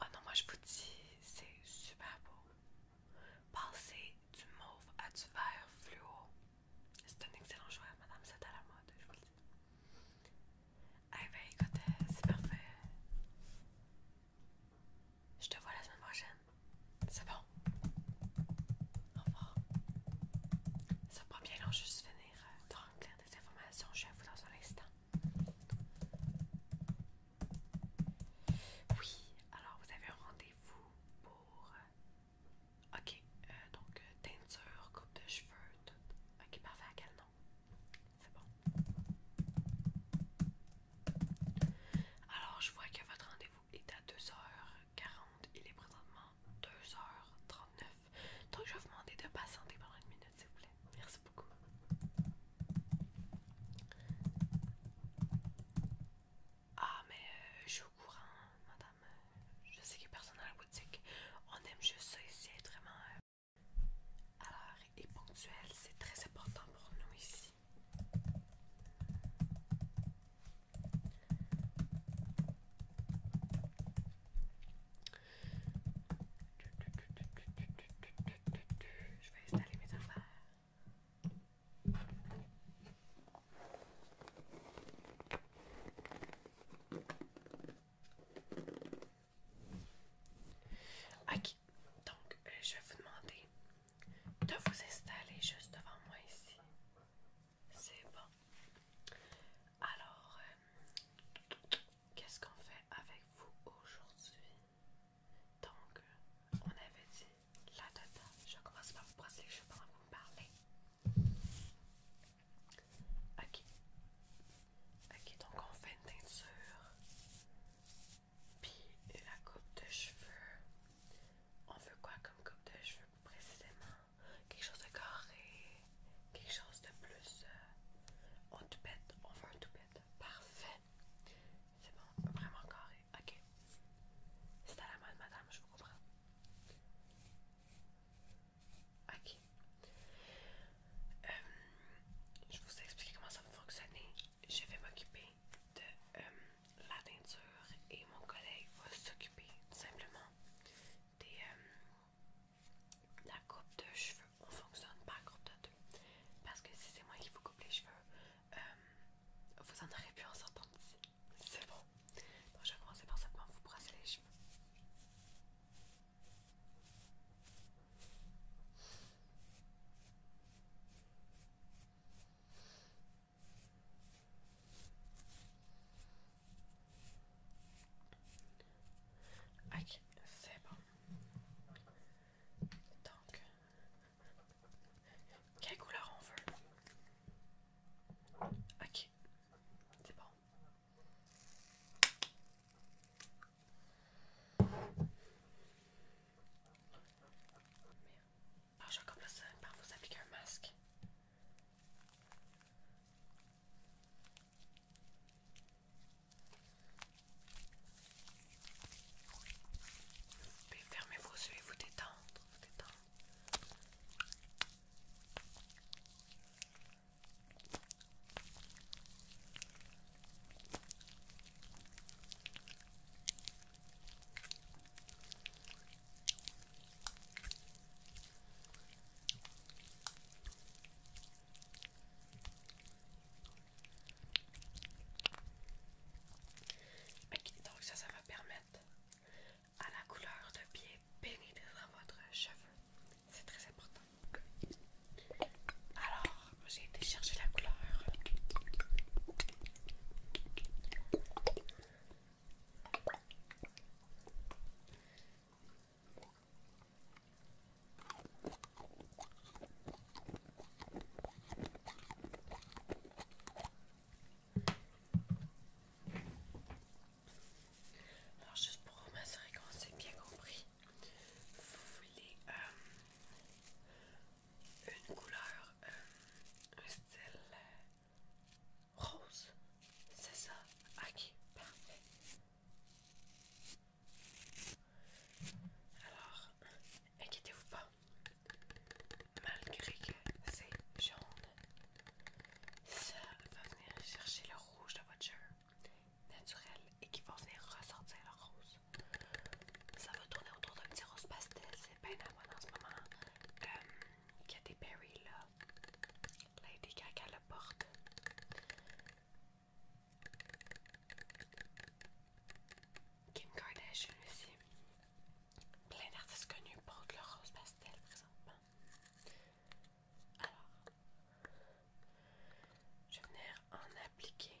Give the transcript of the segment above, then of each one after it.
Oh non, moi je vous dis, c'est super beau. Passer du mauve à du vert fluo. C'est un excellent choix, madame, c'est à la mode, je vous le dis. Eh ben écoutez, c'est parfait. Je te vois la semaine prochaine. C'est bon. Au revoir. Ça prend bien long, juste finir euh, tranquille informations, je suis vous dans un instant. Oui, alors vous avez un rendez-vous pour... Euh, ok, euh, donc euh, teinture, coupe de cheveux, tout. Ok, parfait, à quel nom? C'est bon. Alors, je vois que votre rendez-vous est à 2h40. Il est présentement 2h39. Donc je vais vous demander de pas patienter pendant une minute s'il vous plaît. Merci beaucoup. Ah mais euh, je suis au courant, madame. Je sais qu'il a personne à la boutique. On aime juste ça ici, être vraiment... Alors, euh, et ponctuel, c'est très important pour nous ici. Je vais installer mes affaires. Ok, donc euh, je vais vous demander de vous installer juste devant moi ici. C'est bon. Alors, euh, qu'est-ce qu'on fait avec vous aujourd'hui? Donc, on avait dit la date Je commence par vous brasser les cheveux pendant que vous me parlez. Ok. Ok, donc on fait une teinture. Puis la coupe de cheveux. On veut quoi comme coupe de cheveux précisément? quelque chose de carré, quelque chose de plus. Euh, on tout on veut un tout bête, Parfait. C'est bon, vraiment carré. Ok. C'est à la mode, madame, je vous comprends. Ok. Euh, je vous explique comment ça va fonctionner. Je vais m'occuper de euh, la teinture et mon collègue va s'occuper simplement euh, la coupe de cheveux. On fonctionne pas par coupe de deux. Parce que si c'est moi qui vous coupe les cheveux, euh, vous en aurez pu en sortant d'ici. C'est bon. Donc je vais commencer par simplement vous brasser les cheveux. Ok, c'est bon. Donc, quelle couleur on veut? Ok, c'est bon. Alors, ah, je vais par vous appliquer un masque pouvez fermez vos yeux et vous détendre, vous détendre. Donc ça, ça va permettre à la couleur de bien pénétrer dans votre cheveu. C'est très important. Alors, j'ai été chercher la couleur. Alors juste pour m'assurer qu'on s'est bien compris, vous voulez euh, une couleur, euh, un style euh, Rose, c'est ça. Ok, parfait. Alors, inquiétez-vous pas. Malgré que c'est jaune, ça va venir chercher le rouge de votre naturel et qui va venir ressortir le rose. Ça va tourner autour d'un petit rose pastel, c'est bien à moi en ce moment. Euh, il y a des berries là. Lady Gaga le porte. Kim Kardashian aussi. Plein d'artistes connus portent le rose pastel présentement. Alors, je vais venir en appliquer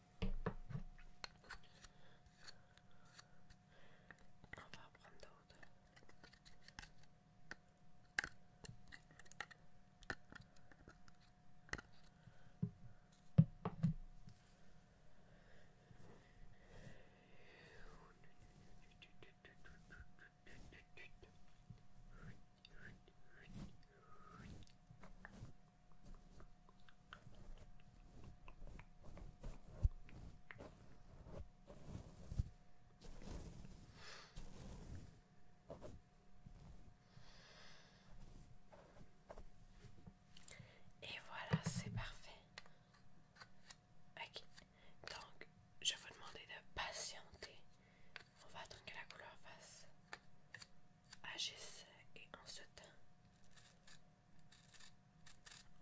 On va prendre d'autres. Et voilà, c'est parfait. Ok, donc je vous demander de patienter. On va attendre que la couleur fasse agissent et en ce temps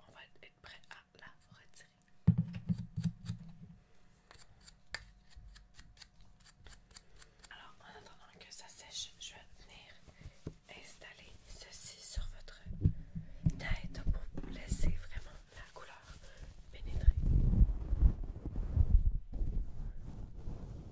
on va être prêt à la retirer. Alors en attendant que ça sèche, je vais venir installer ceci sur votre tête pour vous laisser vraiment la couleur pénétrer.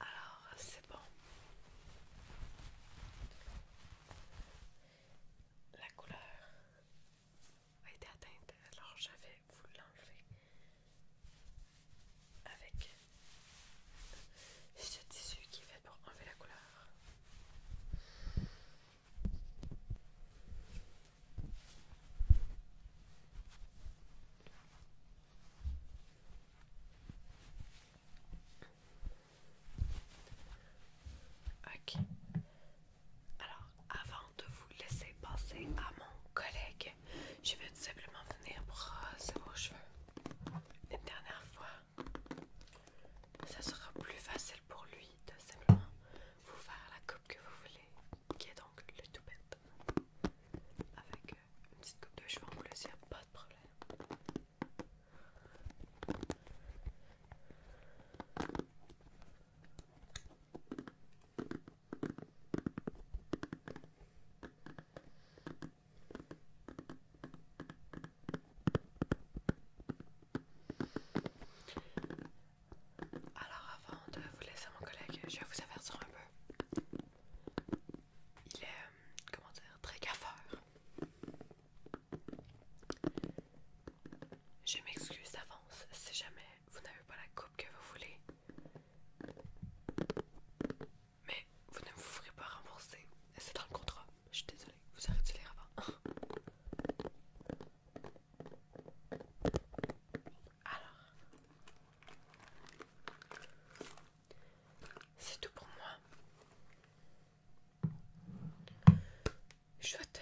Alors, c'est bon. La couleur a été atteinte. Alors, j'avais vous l'enlevez avec ce tissu qui est fait pour enlever la couleur. Ok. Alors, avant de vous laisser passer à mon collègue, je vais tout simplement venir brosser vos cheveux une dernière fois. Ça sera plus facile pour lui de simplement vous faire la coupe que vous voulez, qui est donc le tout bête. Avec euh, une petite coupe de cheveux en plus, il n'y a pas de problème. Alors avant de vous laisser mon collègue, je vais vous avertir un peu. Il est, euh, comment dire, très gaffeur. Je m'excuse d'avance si jamais vous n'avez pas la coupe que vous voulez, mais vous ne vous ferez pas rembourser. C'est dans le contrat. Je suis désolée, vous arrêtez les lire Alors, c'est tout pour moi. Je souhaite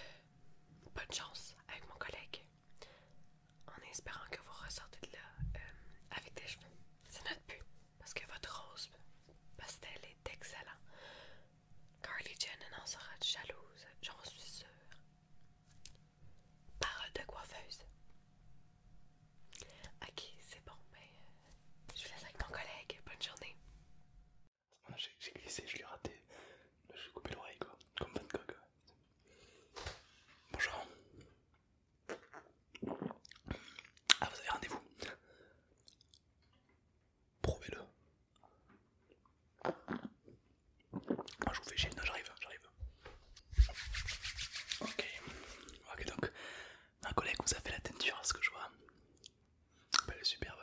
bonne chance avec mon collègue en espérant que vous ressortez de là euh, avec des cheveux. C'est notre but, parce que votre rose pastel est excellent. Carly Jenner en sera jalouse, j'en suis sûre. Parole de coiffeuse. Ok, c'est bon, mais euh, je vous laisse avec mon collègue. Bonne journée. J'ai glissé, je l'ai raté. J'ai coupé l'oreille, quoi. Comme bonne Gogh. Bonjour. Ah, vous avez rendez-vous Prouvez-le. Moi je vous fais chier, non j'arrive, j'arrive. Ok, ok donc, un collègue vous a fait la teinture, ce que je vois. Elle est superbe,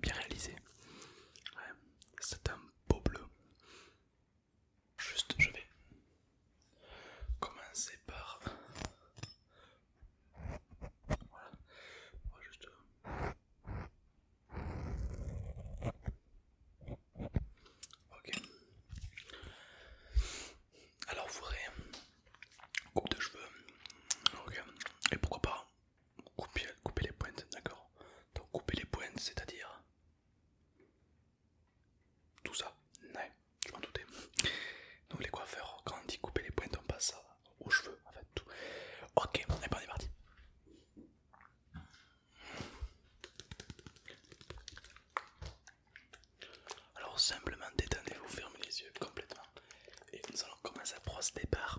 bien réalisé. Ouais. C'est un beau bleu. Juste, je vais commencer par. Voilà, juste. Ok. Alors, vous verrez, coupe de cheveux, ok, et pourquoi pas Couper, les pointes, d'accord. Donc couper les pointes, c'est-à-dire tout ça. Ouais, je m'en doutais. Donc les coiffeurs, quand on dit couper les pointes, on passe aux cheveux, en fait tout. Ok, ben, on est parti. Alors simplement détendez-vous, fermez les yeux complètement et nous allons commencer à procéder par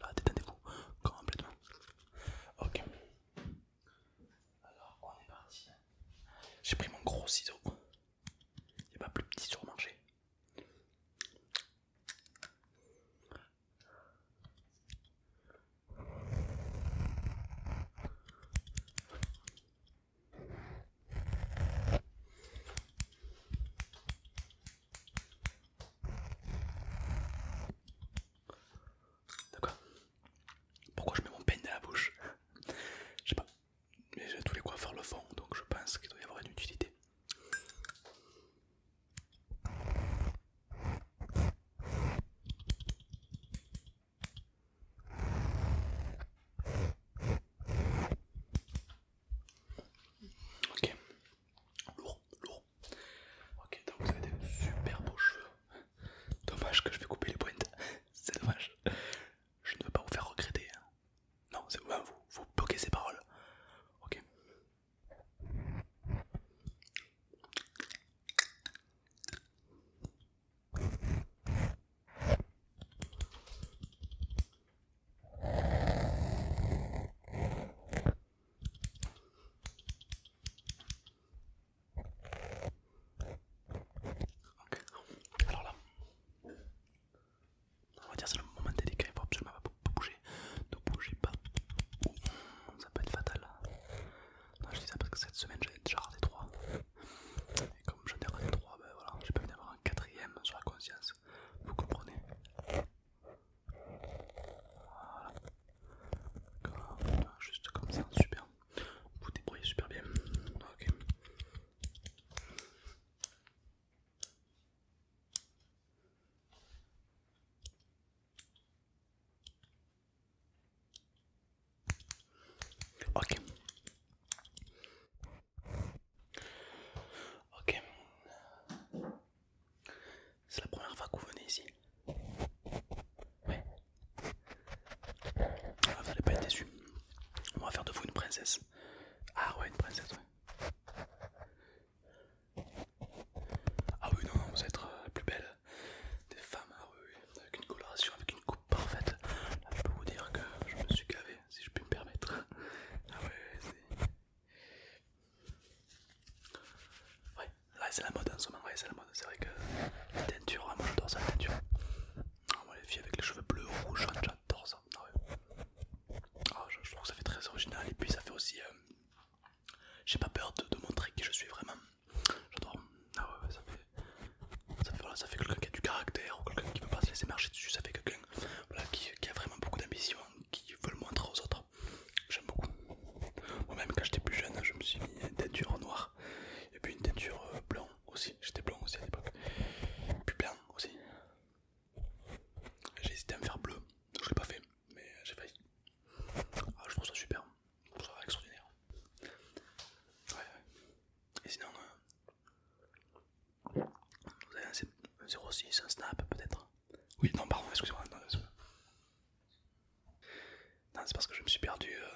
Là, détendez-vous complètement. Ok. Alors, on est parti. J'ai pris mon gros ciseau. Il n'y a pas plus petit sur D'accord Pourquoi je mets mon peigne dans la bouche Je sais pas. Mais tous les coiffeurs le fond, donc je pense qu'il doit y avoir une utilité. Ok, lourd, lourd. Ok, donc vous avez des super beaux cheveux. Dommage que je vais couper les pointes, c'est dommage. Je ne veux pas vous faire regretter. Hein. Non, c'est vous, vous bloquez ces paroles. Ok. Ok, alors là, on va dire c'est le moment délicat, il faut absolument pas bouger, ne bougez pas, ça peut être fatal. Non, je dis ça parce que cette semaine j'ai déjà raté 3, et comme j'en ai raté 3, ben voilà, j'ai pas envie d'avoir un quatrième sur la conscience, vous comprenez Voilà. juste comme ça, super. Vous débrouillez super bien. Ok, Ok. C'est la première fois que vous venez ici. Ouais. Ah, vous n'allez pas être déçu. On va faire de vous une princesse. Ah ouais, une princesse, Ah oui, non, vous êtes euh, la plus belle des femmes, ah oui, avec une coloration, avec une coupe parfaite. je peux vous dire que je me suis gavé si je puis me permettre. Ah ouais, c'est... la mode en ce moment, c'est la mode. C'est vrai que la teinture, moi j'adore ça, la teinture. Ah, les filles avec les cheveux bleus, rouges, j'adore ça. Ah ah, je, trouve ça fait très original et puis ça fait aussi... Euh, j'ai pas peur de, montrer qui je suis vraiment. J'adore. Ah ouais, ça fait... Ça, fait quelqu'un qui a du caractère ou quelqu'un qui peut veut pas se laisser marcher dessus. Ça fait quelqu'un qui, a vraiment beaucoup d'ambition, qui veut le montrer aux autres. J'aime beaucoup. Moi-même, quand j'étais plus jeune, je me suis mis une teinture noire et puis une teinture euh, blanc aussi. J'étais blanc aussi à l'époque. Puis blanc aussi. J'ai hésité à me faire bleu, je l'ai pas fait, mais j'ai failli. Ah, je trouve ça super, je trouve ça extraordinaire. Ouais, ouais. Et sinon, euh, vous avez un 0,6, un snap peut-être Oui, non, pardon, excusez-moi. Non, c'est parce que je me suis perdu euh,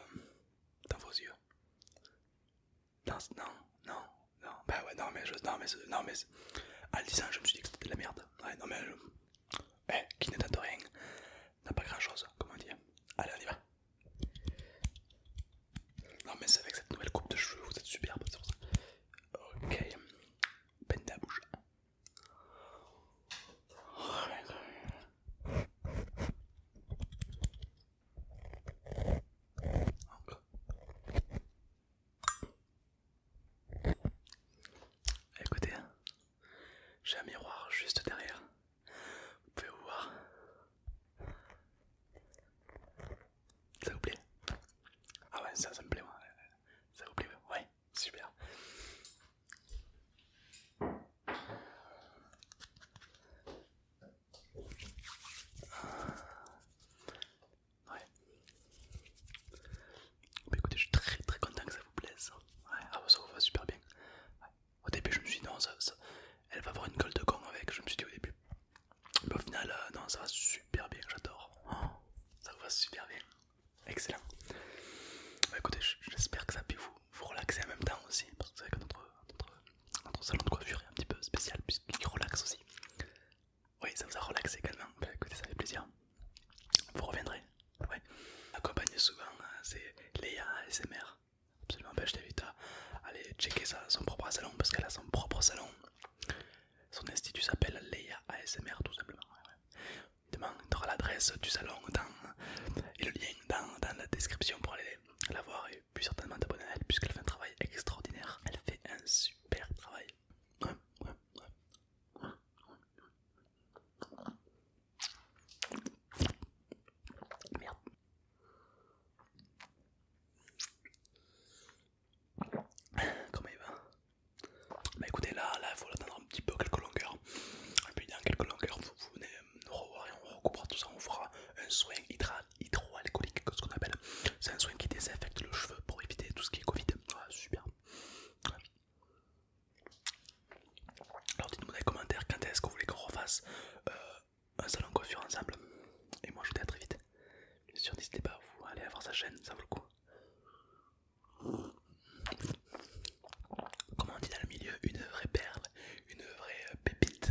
dans vos yeux. Non, non, non, ben bah ouais, non, mais je. Non, mais. Non, mais en le disant, je me suis dit que c'était de la merde. Ouais, non, mais. Eh, qui ne rien n'a pas grand chose, comment dire. Allez, on y va. Non mais c'est avec cette nouvelle coupe de cheveux, vous êtes superbe, c'est ça. Ok, peine de la bouche. Encore. Écoutez, j'ai un miroir juste derrière. Vous pouvez voir. Ça vous plaît Ah ouais, ça, me plaît, moi. Ça vous plaît Ouais, super. Ouais. Bah, écoutez, je suis très très content que ça vous plaise. Ouais, ah, ça vous va super bien. Au début, je me suis dit non, ça, elle va avoir une colle de con avec. Je me suis dit au début, mais au final, euh, non, ça va super bien. J'adore, oh, ça va super bien, excellent. Bah, écoutez, j'espère que ça a vous, relaxer en même temps aussi parce que c'est vrai que notre, salon de coiffure est un petit peu spécial puisqu'il relaxe aussi. Oui, ça vous a relaxé également. Bah, écoutez, ça fait plaisir. Vous reviendrez, ouais. Accompagnez souvent, hein, c'est Léa SMR. Absolument ben, à aller checker sa son propre salon parce qu'elle a son propre salon. Son institut s'appelle Leia ASMR tout simplement. tu l'adresse du salon et le lien dans, la description pour aller la voir et puis certainement t'abonner à elle puisqu'elle fait un travail extraordinaire. Elle fait un super travail. Merde il va Bah écoutez, là, là, il faut l'attendre un petit peu, quelques longueurs. Et puis dans quelques longueurs, vous, venez nous revoir et on recouvre tout ça. On fera un soin hydroalcoolique, qu'on appelle. C'est un soin qui désinfecte le cheveu pour éviter tout ce qui est Covid. Ah, super. Alors dites-moi dans les commentaires quand est-ce que vous voulez qu'on refasse euh, un salon coiffure ensemble. Et moi je vous dis à très vite. Bien sûr, n'hésitez pas à vous aller voir sa chaîne, ça vaut le coup. Comment on dit dans le milieu Une vraie perle, une vraie euh, pépite,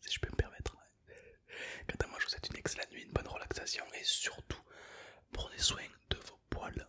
si je peux me permettre. à moi, je vous souhaite une excellente nuit, une bonne relaxation et surtout, prenez soin de vos poils.